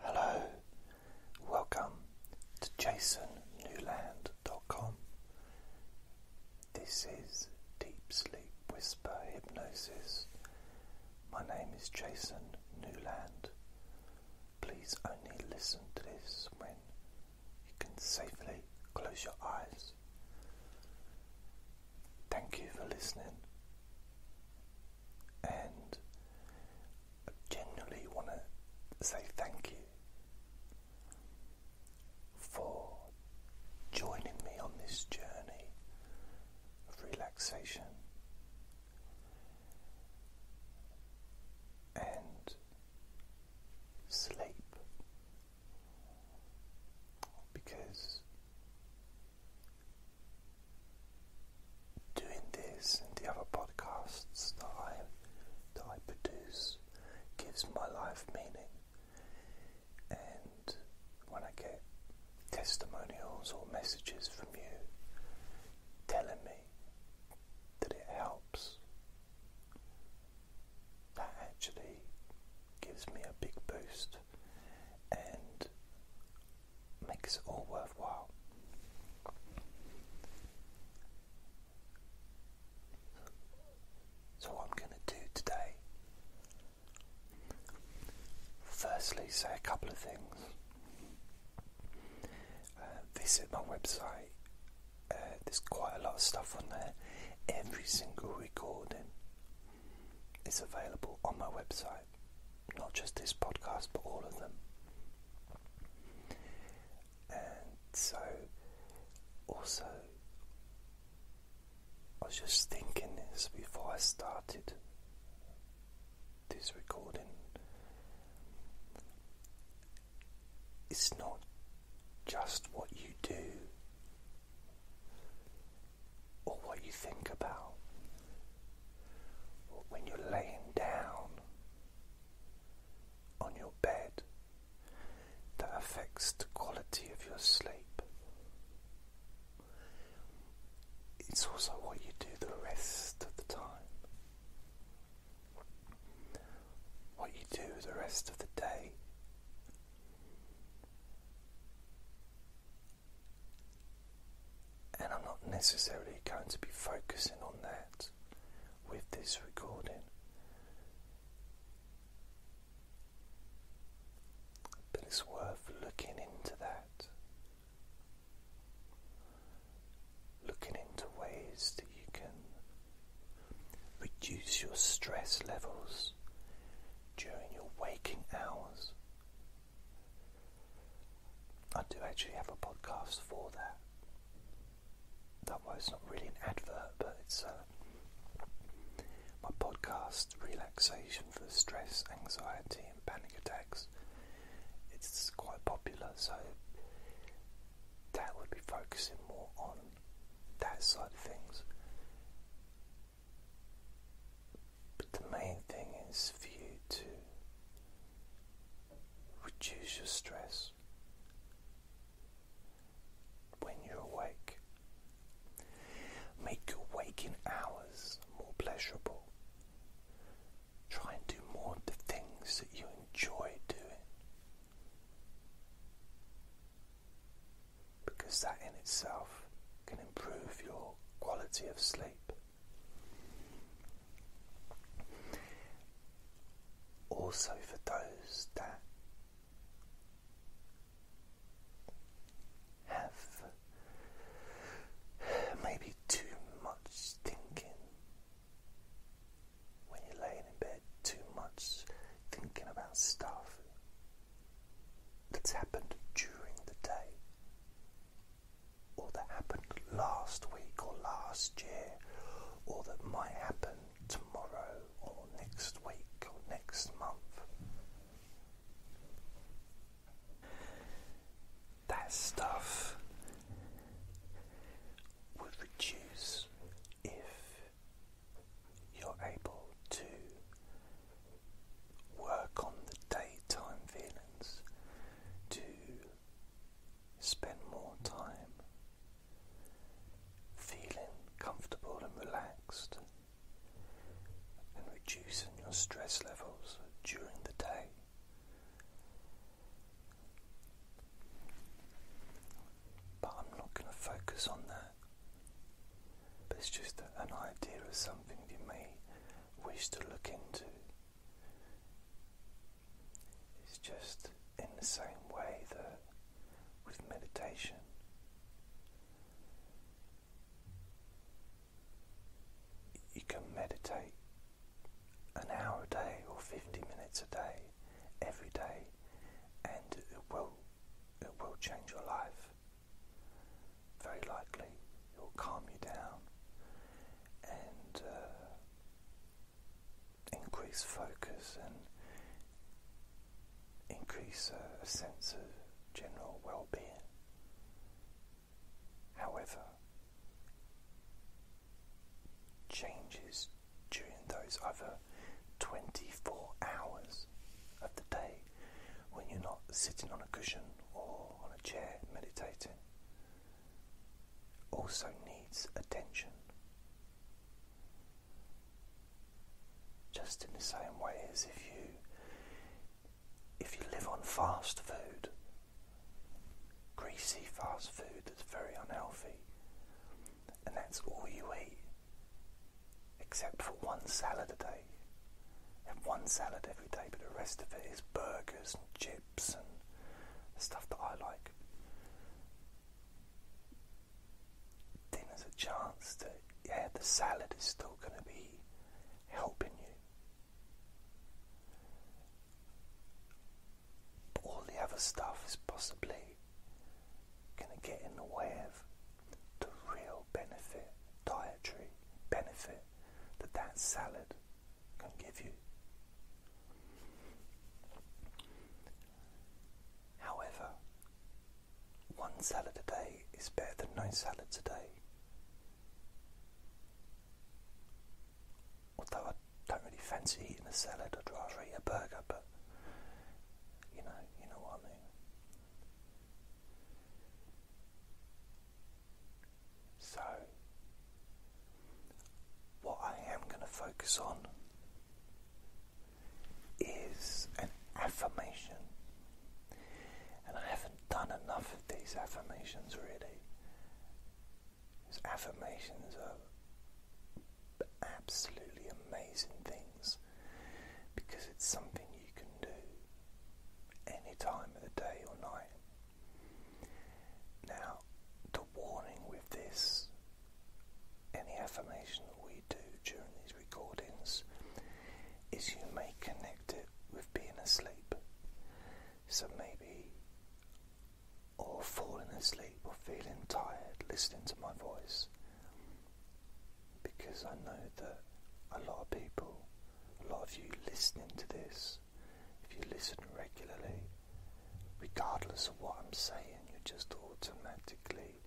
Hello, welcome to jasonnewland.com. This is Deep Sleep Whisper Hypnosis. My name is Jason Newland. Please only listen to this when you can safely close your eyes. Thank you for listening. And I genuinely want to say thank you for joining me on this journey of relaxation. And sleep because doing this and the other podcasts that I that I produce gives my life meaning. And when I get testimonials or messages from you telling me that it helps, that actually gives me a big boost and makes it all worthwhile. So, what I'm going to do today, firstly, say a couple of things. Uh, visit my website, uh, there's quite a lot of stuff on there. Every single recording is available on my website not just this podcast, but all of them. And so, also, I was just thinking this before I started this recording. It's not just what you do or what you think about, when you're laying down on your bed that affects the quality of your sleep. It's also what you do the rest of the time. What you do the rest of the day. And I'm not necessarily going to be focusing on that with this recording. But it's worth looking into that. Looking into ways that you can reduce your stress levels during your waking hours I do actually have a podcast for that. That was not really an advert, but it's uh, my podcast, Relaxation for Stress, Anxiety, and Panic Attacks. It's quite popular, so that would be focusing more on that side of things. But the main thing is for you to reduce your stress when you're awake. Make your waking hours more pleasurable. Try and do more of the things that you enjoy doing. Because that in itself can improve your quality of sleep. Also, for those that have maybe too much thinking when you're laying in bed, too much thinking about stuff that's happened during the day or that happened last week or last year, or that might happen tomorrow or next week or next month. That stuff would reduce if you're able to work on the daytime feelings, to spend more time feeling comfortable and relaxed and reducing your stress levels during the day. But I'm not going to focus on that. But it's just an idea of something you me wish to look into. It's just in the same way that with meditation, you can meditate an hour a day or 50 minutes a day, every day, and it will, it will change your life. Very likely, it will calm you down, and uh, increase focus and increase uh, a sense of general well-being. However, changes during those other 24 hours of the day when you're not sitting on a cushion or on a chair meditating also needs attention. Just in the same way as if you if you live on fast food, greasy fast food that's very unhealthy, and that's all you eat, except for one salad a day. have one salad every day, but the rest of it is burgers and chips and stuff that I like. Dinner's a chance to, yeah, the salad is still going to be helping you. But all the other stuff is possibly going to get in the way of the real benefit, dietary benefit that that salad can give you. However, one salad a day is better than no salads a day. Although I don't really fancy eating a salad, I'd rather eat a burger, but you know, you know what I mean. So, what I am going to focus on is an affirmation. And I haven't done enough of these affirmations really. These affirmations are absolutely amazing things because it's something you can do any time of the day or night. Now, the warning with this, any affirmation that we do during these recordings, is you may connect it with being asleep. So maybe, or falling asleep or feeling tired listening to my voice. Because I know that a lot of people a lot of you listening to this, if you listen regularly, regardless of what I'm saying, you're just automatically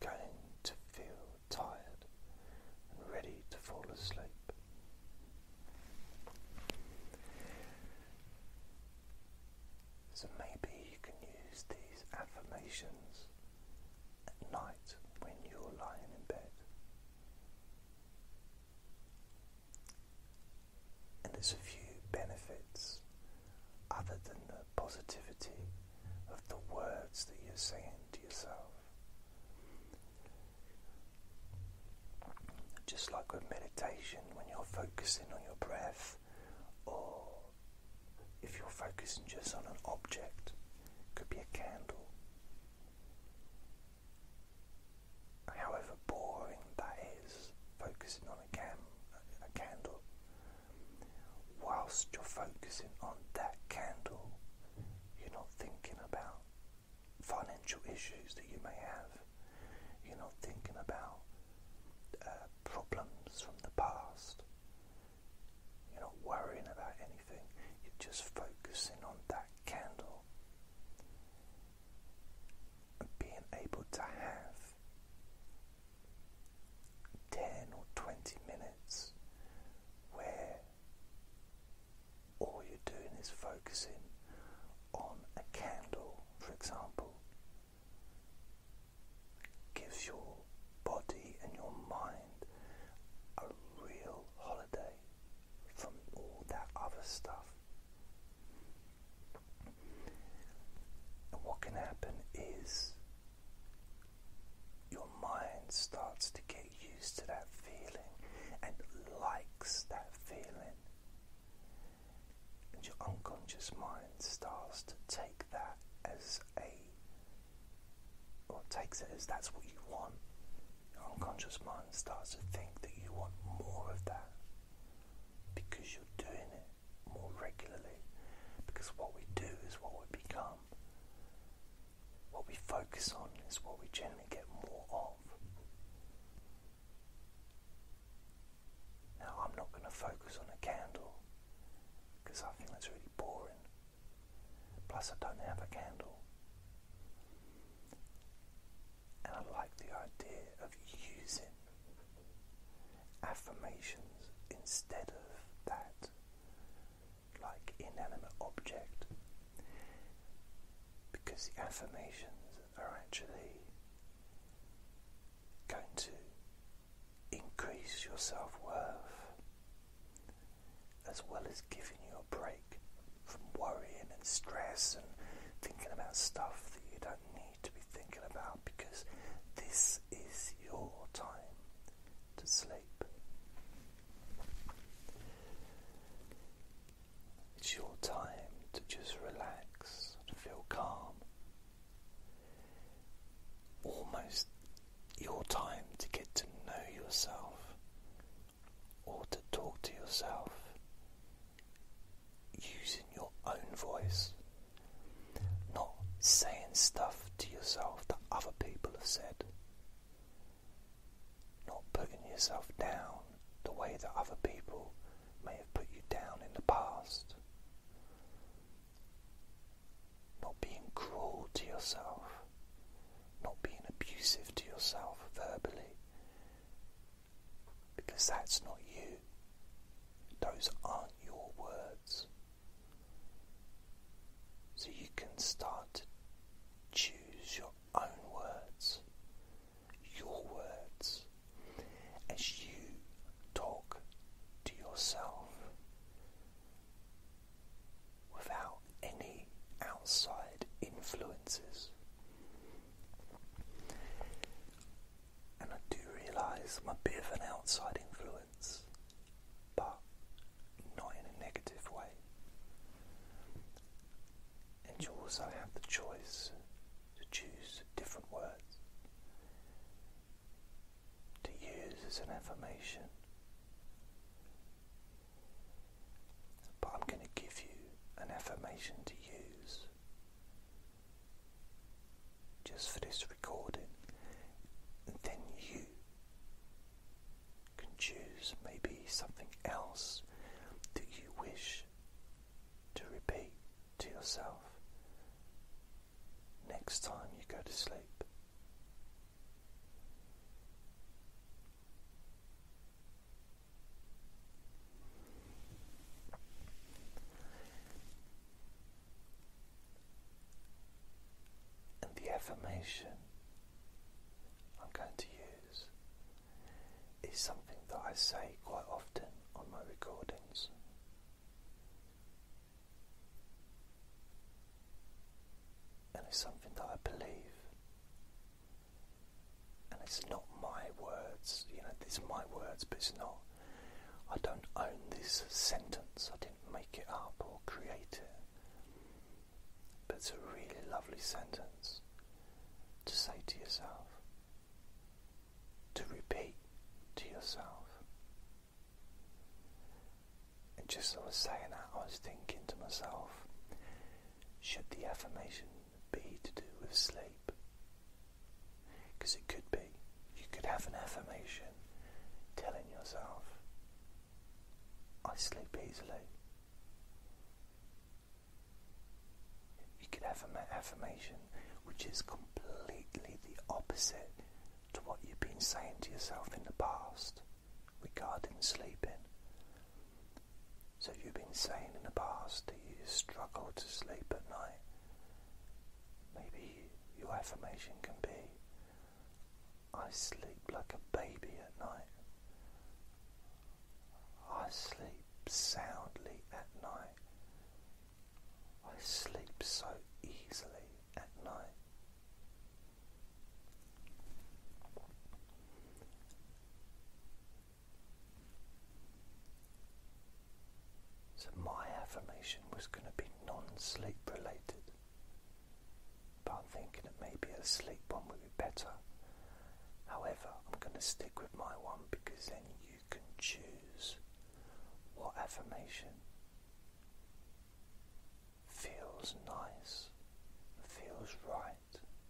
going to feel tired and ready to fall asleep. So maybe you can use these affirmations at night when you're lying in bed. And there's a few benefits other than the positivity of the words that you're saying to yourself. Just like with meditation, when you're focusing on your breath, or if you're focusing just on an object, it could be a candle however boring that is, focusing on a, candle, whilst you're focusing on that candle, you're not thinking about financial issues that you may have, you're not thinking about uh, problems from the past. You're not worrying about anything, you're just focusing on that candle being able to have 10 or 20 minutes where all you're doing is focusing on a candle, for example, gives your body and your mind a real holiday from all that other stuff. what can happen is your mind starts to get used to that feeling and likes that feeling. And your unconscious mind starts to take that as a, or takes it as that's what you want your unconscious mind starts to think that you want more of that because you're doing it more regularly. Because what we do is what we become. What we focus on is what we generally get more of. Now, I'm not going to focus on a candle because I think it's really boring. Plus, I don't have a candle. And I like the idea of using affirmations instead of that like inanimate object because the affirmations are actually going to increase your self worth as well as giving you a break from worrying and stress and thinking about stuff that you don't need to be thinking about because this is your time to sleep. It's your time to just relax and feel calm. Almost your time to get to know yourself or to talk to yourself using your own voice, not saying stuff to yourself that other people have said, not putting yourself down the way that other people may have put you down in the past, not being cruel to yourself, not being abusive to yourself verbally because that's not you. Those aren't your words. So you can start to choose your own words, your words, as you talk to yourself without any outside influences. And I do realise I'm a bit of an outside influence, but not in a negative way. And you also have the choice to choose different words to use as an affirmation but I'm going to give you an affirmation to use just for this recording, then you can choose maybe something else that you wish to repeat to yourself next time you go to sleep. And the affirmation I'm going to use is something that I say quite often on my recordings. And it's something that I believe and it's not my words, you know, these are my words, but it's not. I don't own this sentence, I didn't make it up or create it. But it's a really lovely sentence to say to yourself, to repeat to yourself. And just as I was saying that, I was thinking to myself, should the affirmation be to do with sleep? Because it could be. You could have an affirmation telling yourself, I sleep easily. You could have an affirmation which is completely the opposite to what you've been saying to yourself in the past regarding sleeping. So you've been saying in the past that you struggle to sleep at night. Maybe your affirmation can be I sleep like a baby at night. I sleep soundly at night. I sleep so easily at night. So, my affirmation was going to be non sleep related, but I'm thinking that maybe a sleep one would be better. However, I'm going to stick with my one because then you can choose what affirmation feels nice, feels right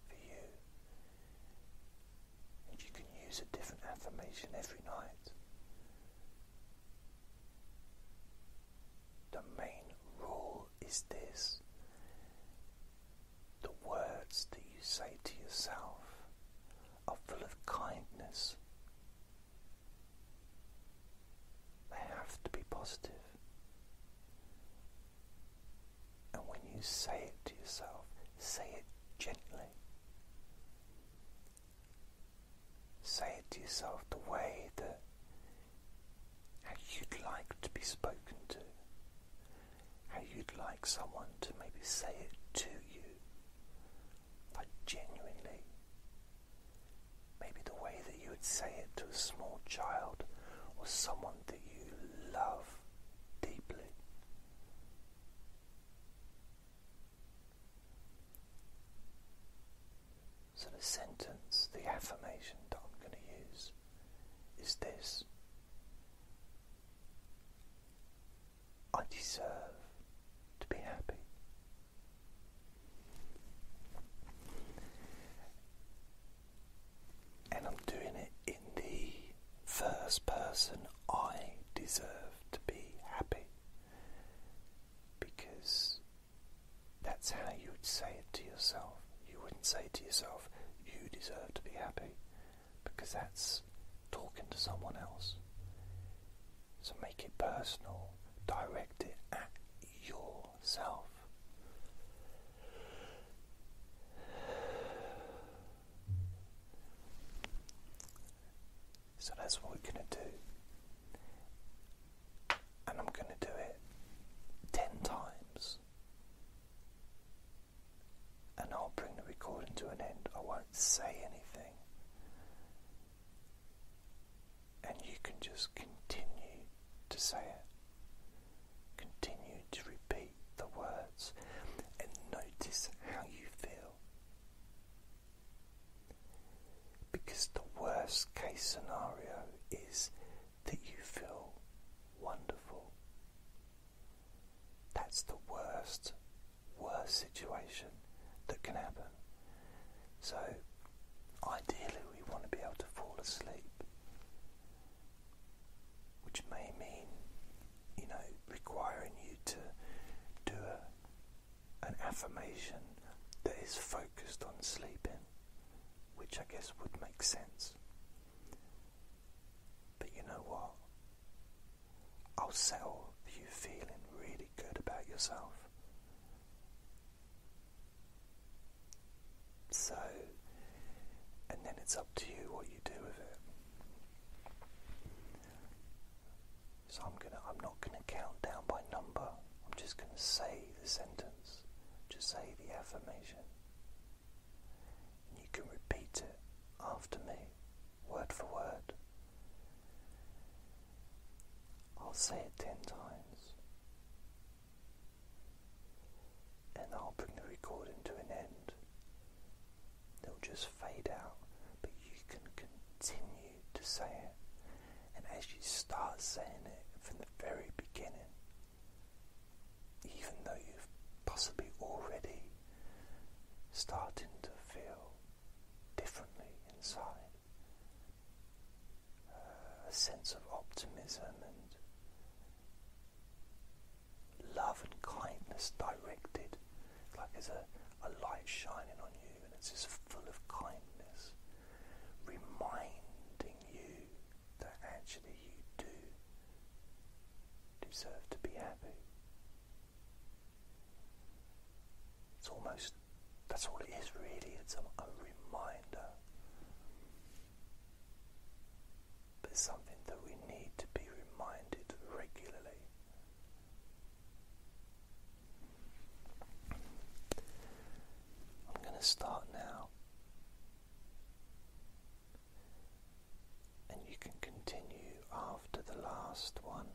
for you. And you can use a different affirmation every night. The main rule is this the words that you say to yourself are full of kindness. They have to be positive. And when you say it to yourself, say it gently. Say it to yourself the way that how you'd like to be spoken to, how you'd like someone to maybe say it to you, like genuinely. Maybe the way that you would say it to a small child or someone that you love so, the sentence, the affirmation that I'm going to use is this I deserve to be happy and I'm doing it in the first person. I deserve to be happy because that's how you would say it to yourself. You wouldn't say to yourself, You deserve to be happy because that's talking to someone else. So make it personal, direct it at yourself. So that's what we're going to do. And I'm going to do it 10 times. And I'll bring the recording to an end. I won't say anything. And you can just continue to say it, continue to repeat the words and notice how you feel. Because the worst case scenario is that you feel wonderful. That's the worst, worst situation that can happen. So, ideally, we want to be able to fall asleep which may mean, you know, requiring you to do an affirmation that is focused on sleeping, which I guess would make sense. But you know what? I'll settle for you feeling really good about yourself. So, and then it's up to you what you do with it. So I'm gonna I'm not gonna count down by number. I'm just gonna say the sentence. Just say the affirmation. And you can repeat it after me, word for word. I'll say it ten times and I'll bring the recording to an end. They'll just fade out, but you can continue to say it. And as you start saying it from the very beginning, even though you've possibly already starting to feel differently inside, uh, a sense of optimism and love and kindness directed. like there's a, light shining on you and it's just full of kindness, reminding you that actually you do deserve to be happy. It's almost, that's all it is really, it's a reminder but something that we need to be reminded regularly. I'm going to start now, and you can continue after the last one.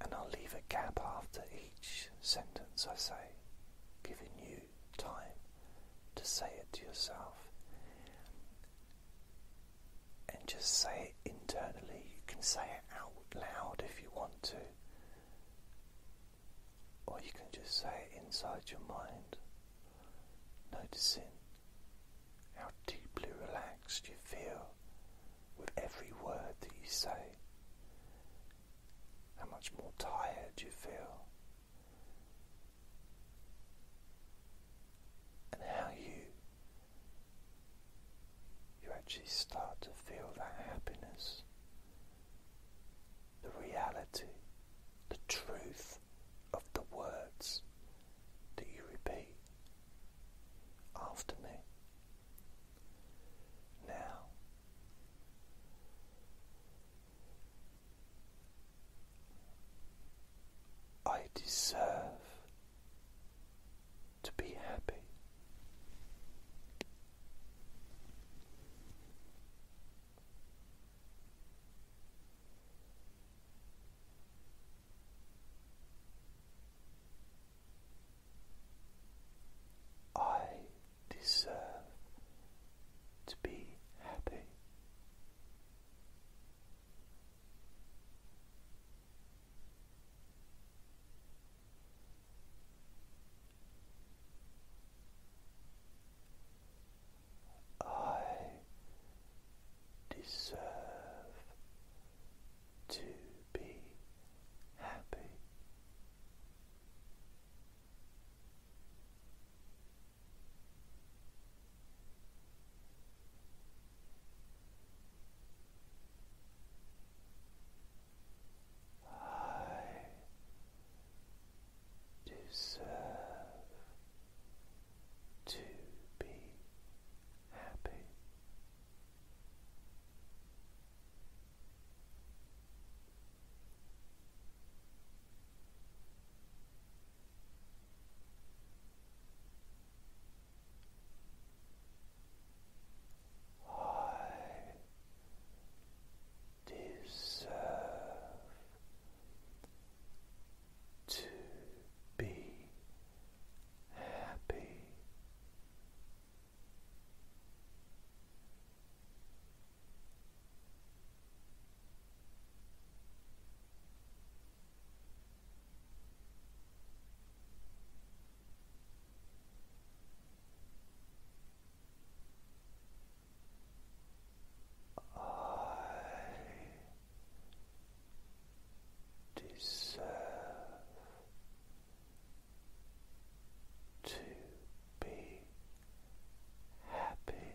And I'll leave a gap after each sentence I say, giving you time to say it to yourself. And just say it internally. You can say it out loud if you want to, or you can just say it inside your mind, noticing how deeply relaxed you feel with every word that you say, how much more tired you feel, and how you you actually start to feel that happiness, the reality, the truth of the words that you repeat after me. Now, I deserve to be happy. I deserve to be happy. I deserve to be happy. I deserve to be happy. I deserve to be happy. I deserve to be happy.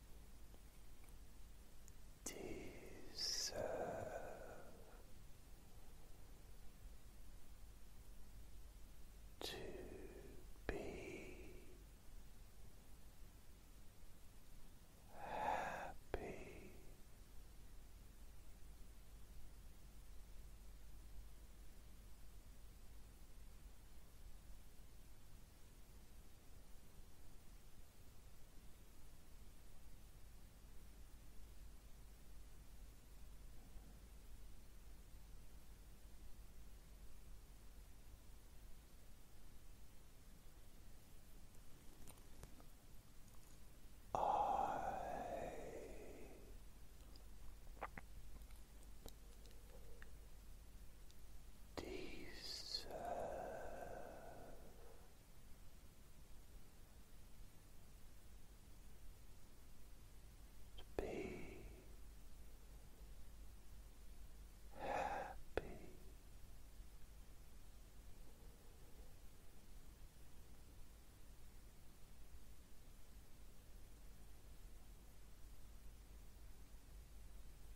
deserve to be happy. I deserve to be happy.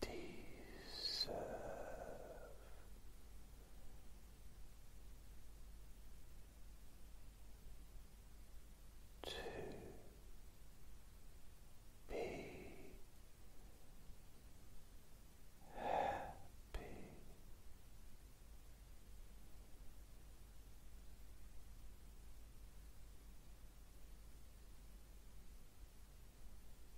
deserve. To be happy,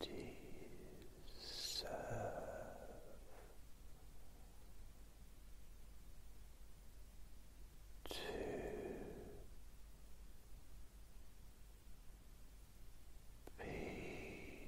deserve to be happy.